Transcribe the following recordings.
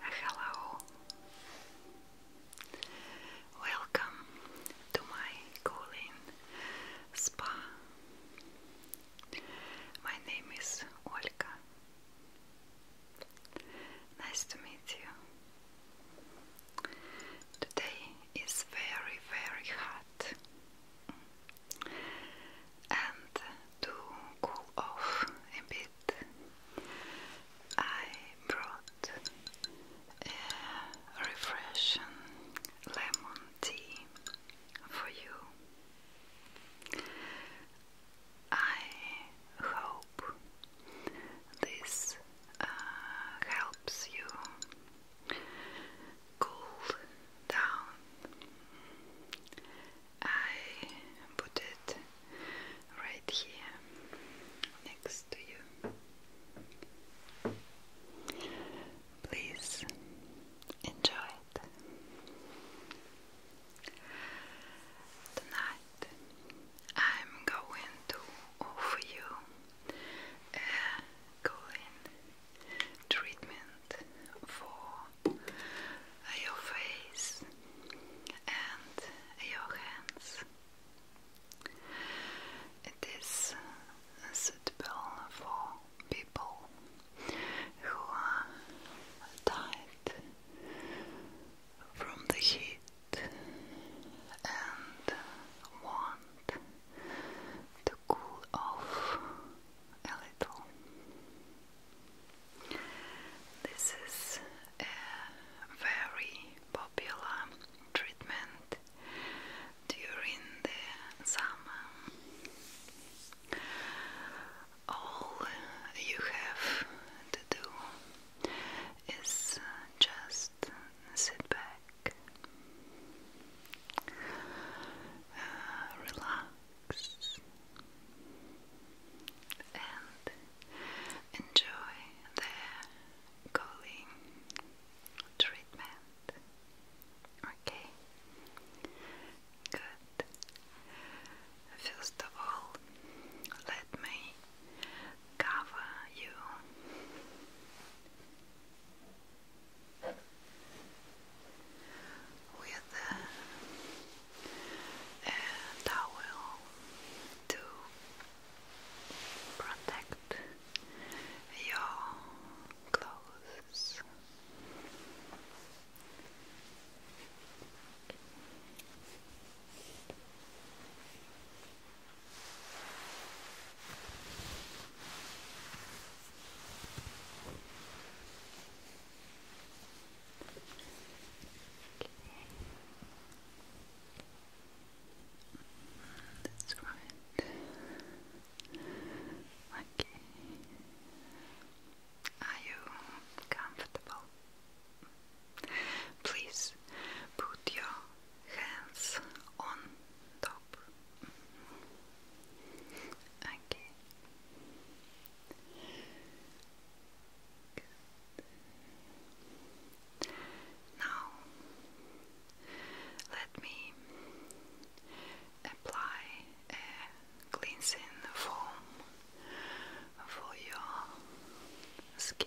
Hello, welcome to my cooling my name is Olga. Nice to meet you. Today is very, very hot. And to cool off a bit, I brought a refreshing lemon tea for you. I hope this uh, helps you cool down. I put it right here next next to you. Please enjoy it. Tonight I'm going to offer you a cooling treatment for your face and your hands. It is suitable for people who are from the heat and want to cool off a little. This is a very popular treatment during the summer. All you have to do is just sit back, relax, and enjoy the cooling treatment hand. Okay, good. First of all, let me cover you. With a, a towel to protect your clothes. That's right. Okay. Are you comfortable? Please put your hands on top. Okay. Now let me apply a cleansing foam for your skin.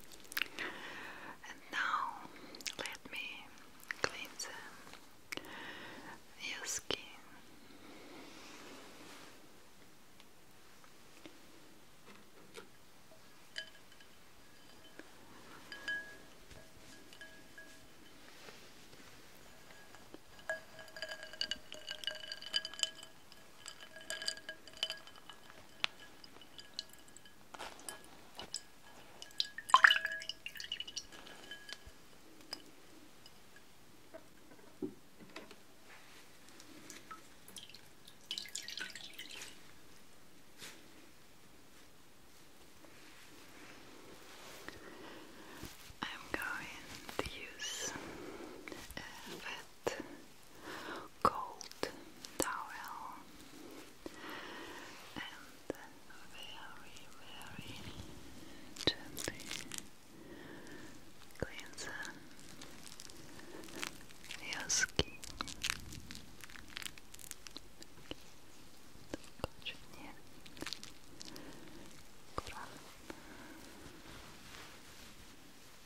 And now let me cleanse your skin. I'm going to use a uh, wet, cold towel and very, very gently cleanse your skin. Нет. Аккуратно.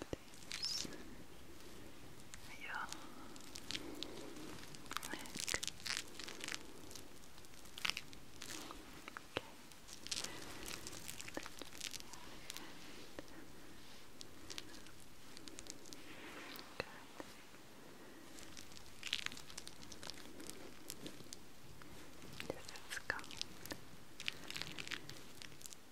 this your neck. Okay. Good. This is coming. Good.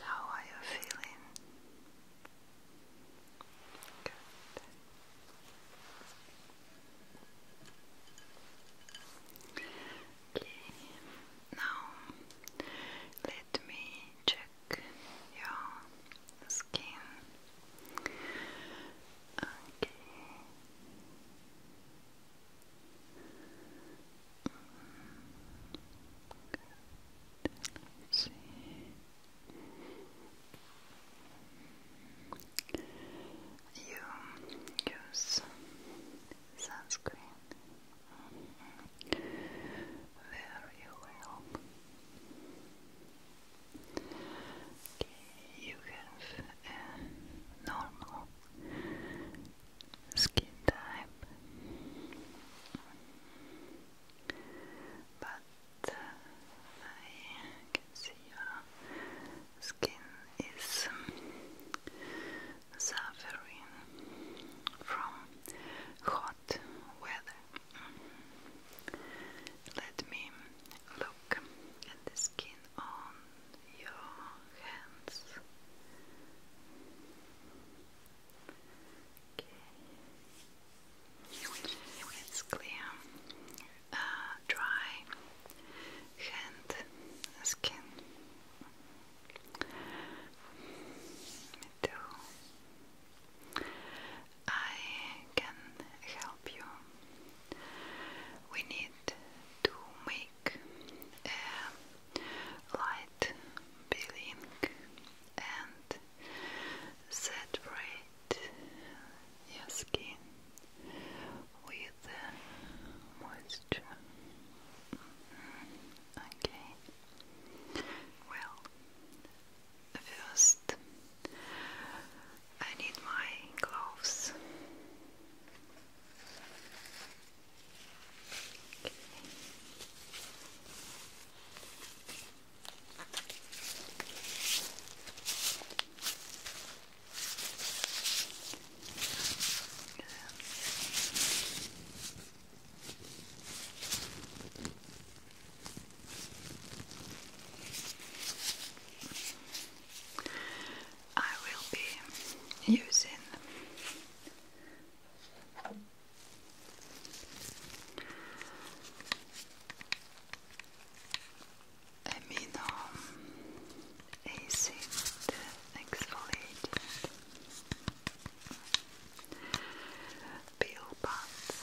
How are you feeling? Good. Okay. Now let me check your skin. Okay. Let's see. You use sunscreen very well. Okay, you have uh, a normal skin type, but uh, I can see your skin is um, suffering from hot weather. Mm-hmm. Let me look at the skin on your hands. Okay. It's clear. Uh, dry hand skin. I can help you. We need to make light peeling and saturate your skin with moisture. Mm-hmm. Okay. Well, first I need my gloves. Okay. I will be using Eminum acid exfoliant peel pads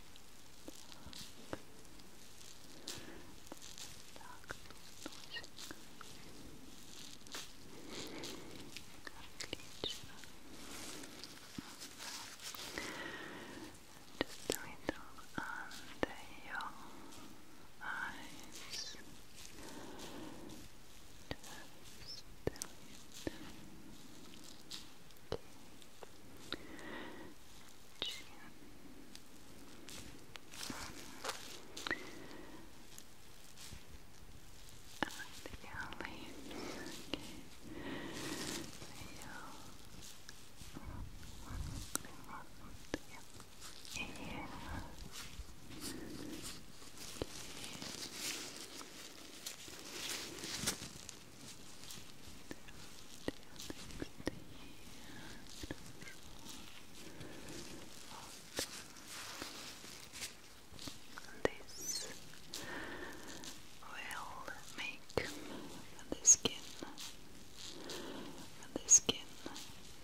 Так, Отлично. Just a little under your eyes. Just a little. I like the alley. Okay. Yeah. Okay. This will make the skin, the skin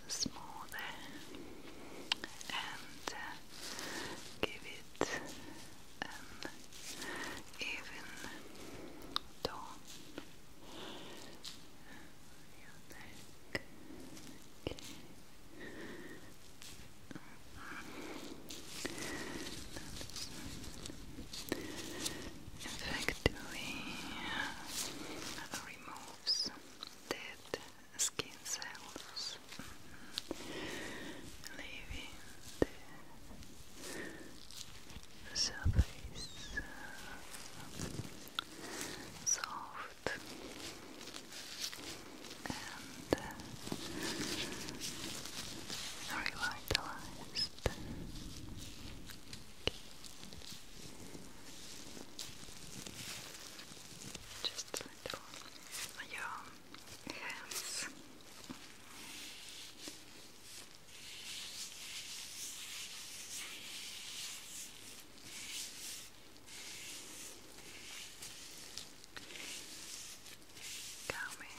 smoother and uh, give it an even tone your neck okay. Effectively uh, removes dead skin cells Yes. Leaving the surface soft and revitalized. Just a little your hands. Calming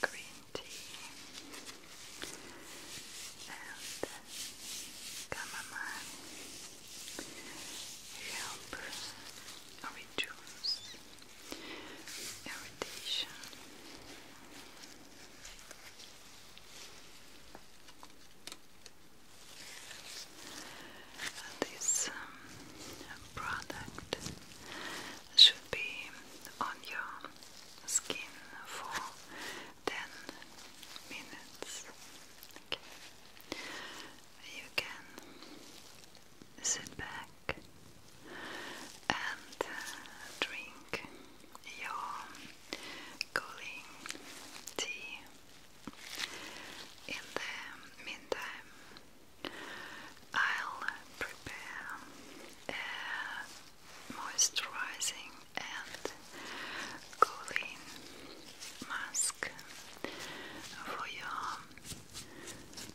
green tea and chamomile help reduce irritation. This um, product should be on your skin for 10 minutes. You can sit back and uh, drink your cooling tea. In the meantime, I'll prepare a moisturizing and cooling mask for your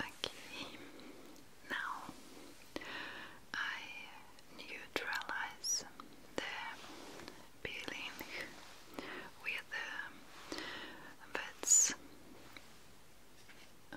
Okay, now I neutralize the peeling with um, the wets uh,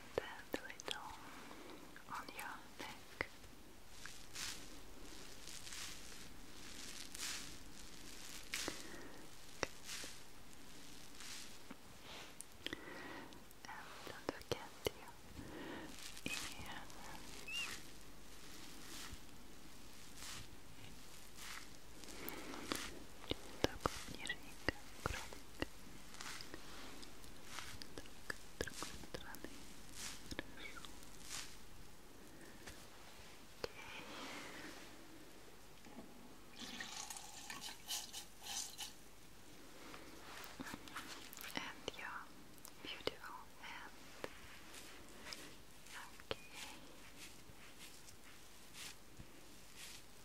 the little on your neck. And don't forget your ear. Just так, другой And your beautiful hand. Okay.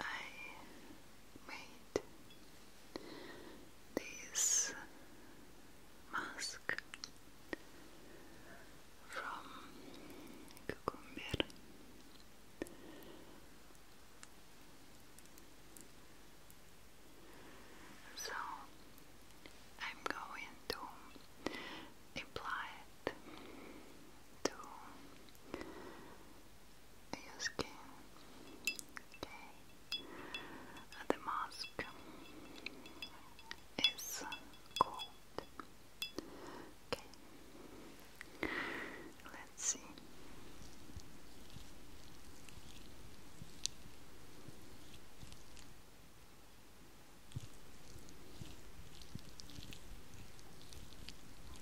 I made this mask from cucumber. So I'm going to apply it to your skin. Okay. The mask is cold. Okay. Let's see.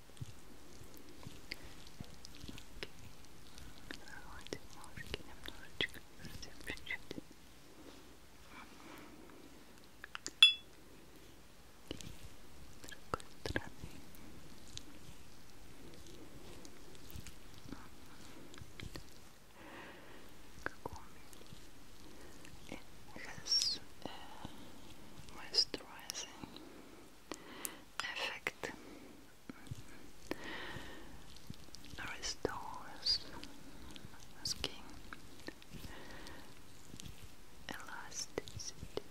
Давайте маски немножечко совсем чуть-чуть. С другой стороны. It has uh, moisturizing effect restores skin elasticity.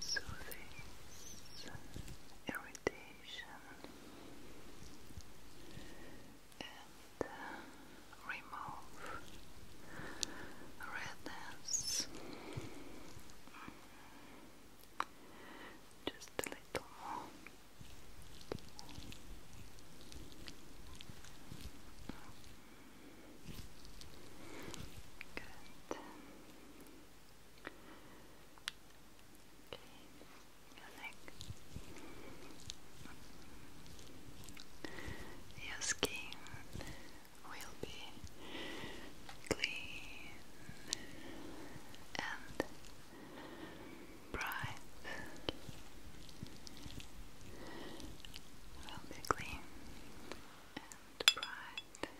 So irritation and uh, remove redness. Just a little more. Mm. Good. Okay the neck. Your skin will be clean and bright. Will be clean and bright.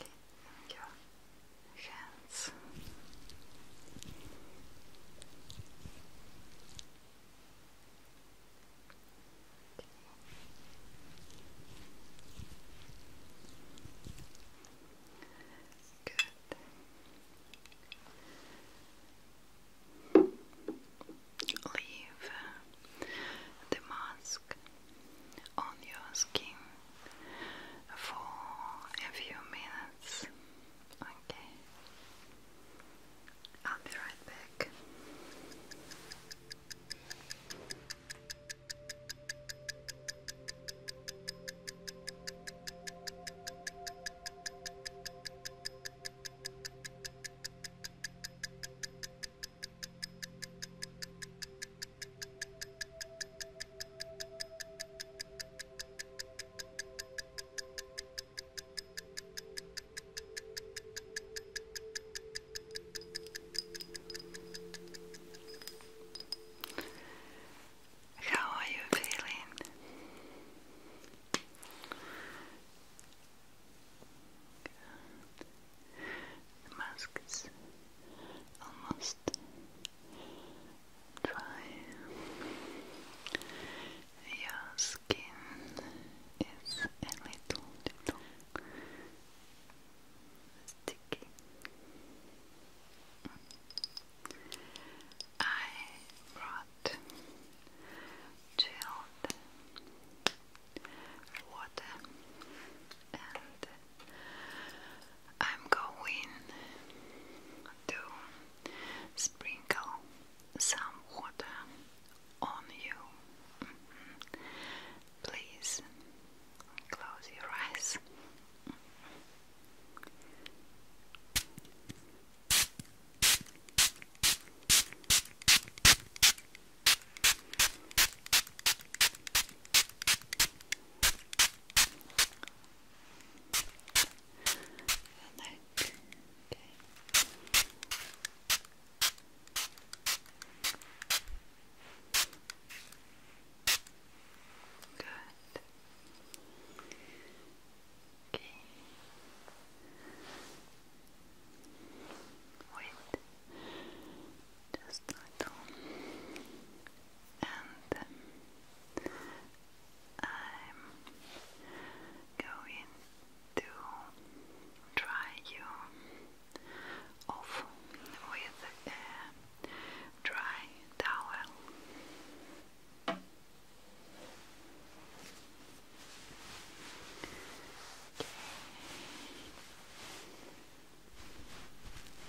Okay, and hands. Okay. Leave the mask on your skin for a few minutes Okay. I'll be right back. How are you feeling? The mask is almost dry. Your skin is a little, little sticky. I brought chilled water and I'm going to sprinkle some water on you. Mm-hmm. Please close your eyes. Like, okay. Good. Okay. Wait. Just a little. And um, I'm going to dry you off with a dry towel.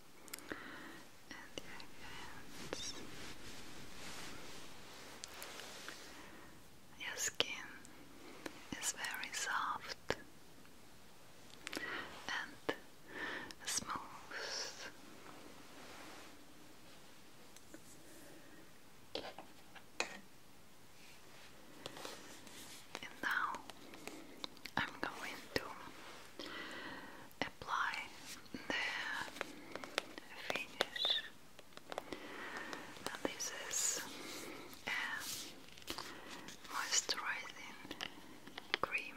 and your your skin is very soft and smooth. And now I'm going to apply the finish. And this is moisturizing cream.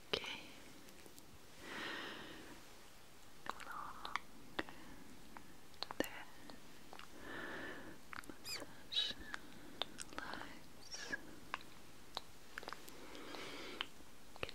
Okay. Along there. Massage lights. Okay.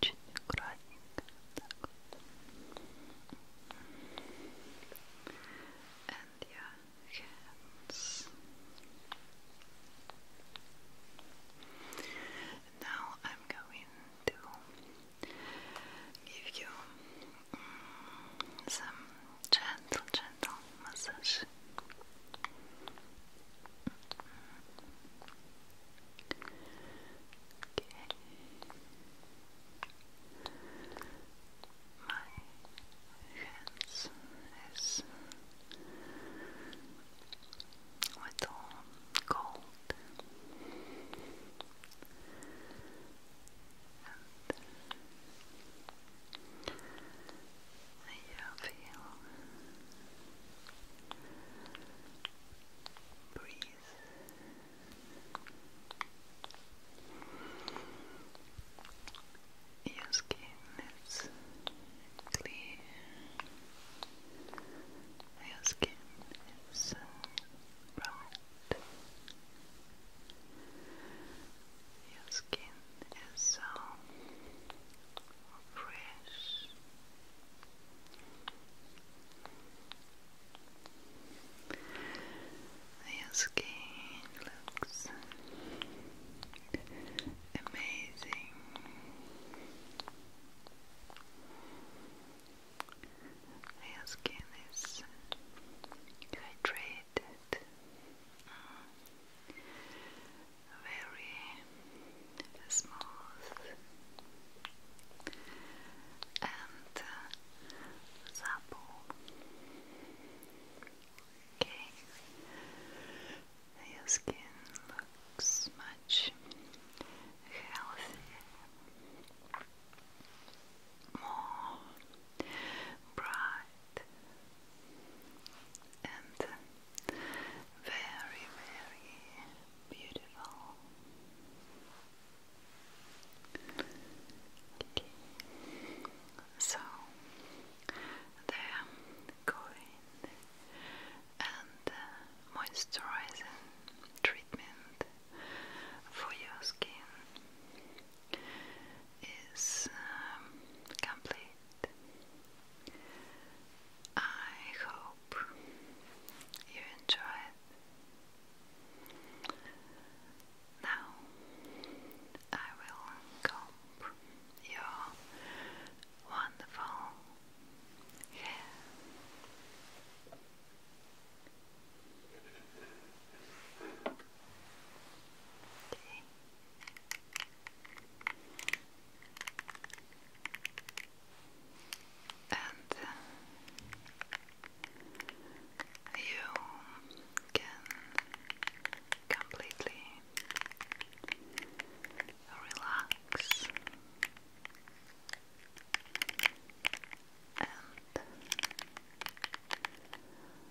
Just And your hands. Now I'm going to give you mm, some gentle, gentle massage this. Okay. My hands is with all gold you feel breathe your skin is clear your skin is bright your skin is so fresh. Your skin looks amazing. Your skin is hydrated. Mm very smooth and supple. Uh, okay, your skin looks much healthier, more bright and very, very beautiful. So they going and uh, moisturizing treatment for your skin is um, complete. I hope you enjoyed. Now I will comb your wonderful hair and uh, you can completely relax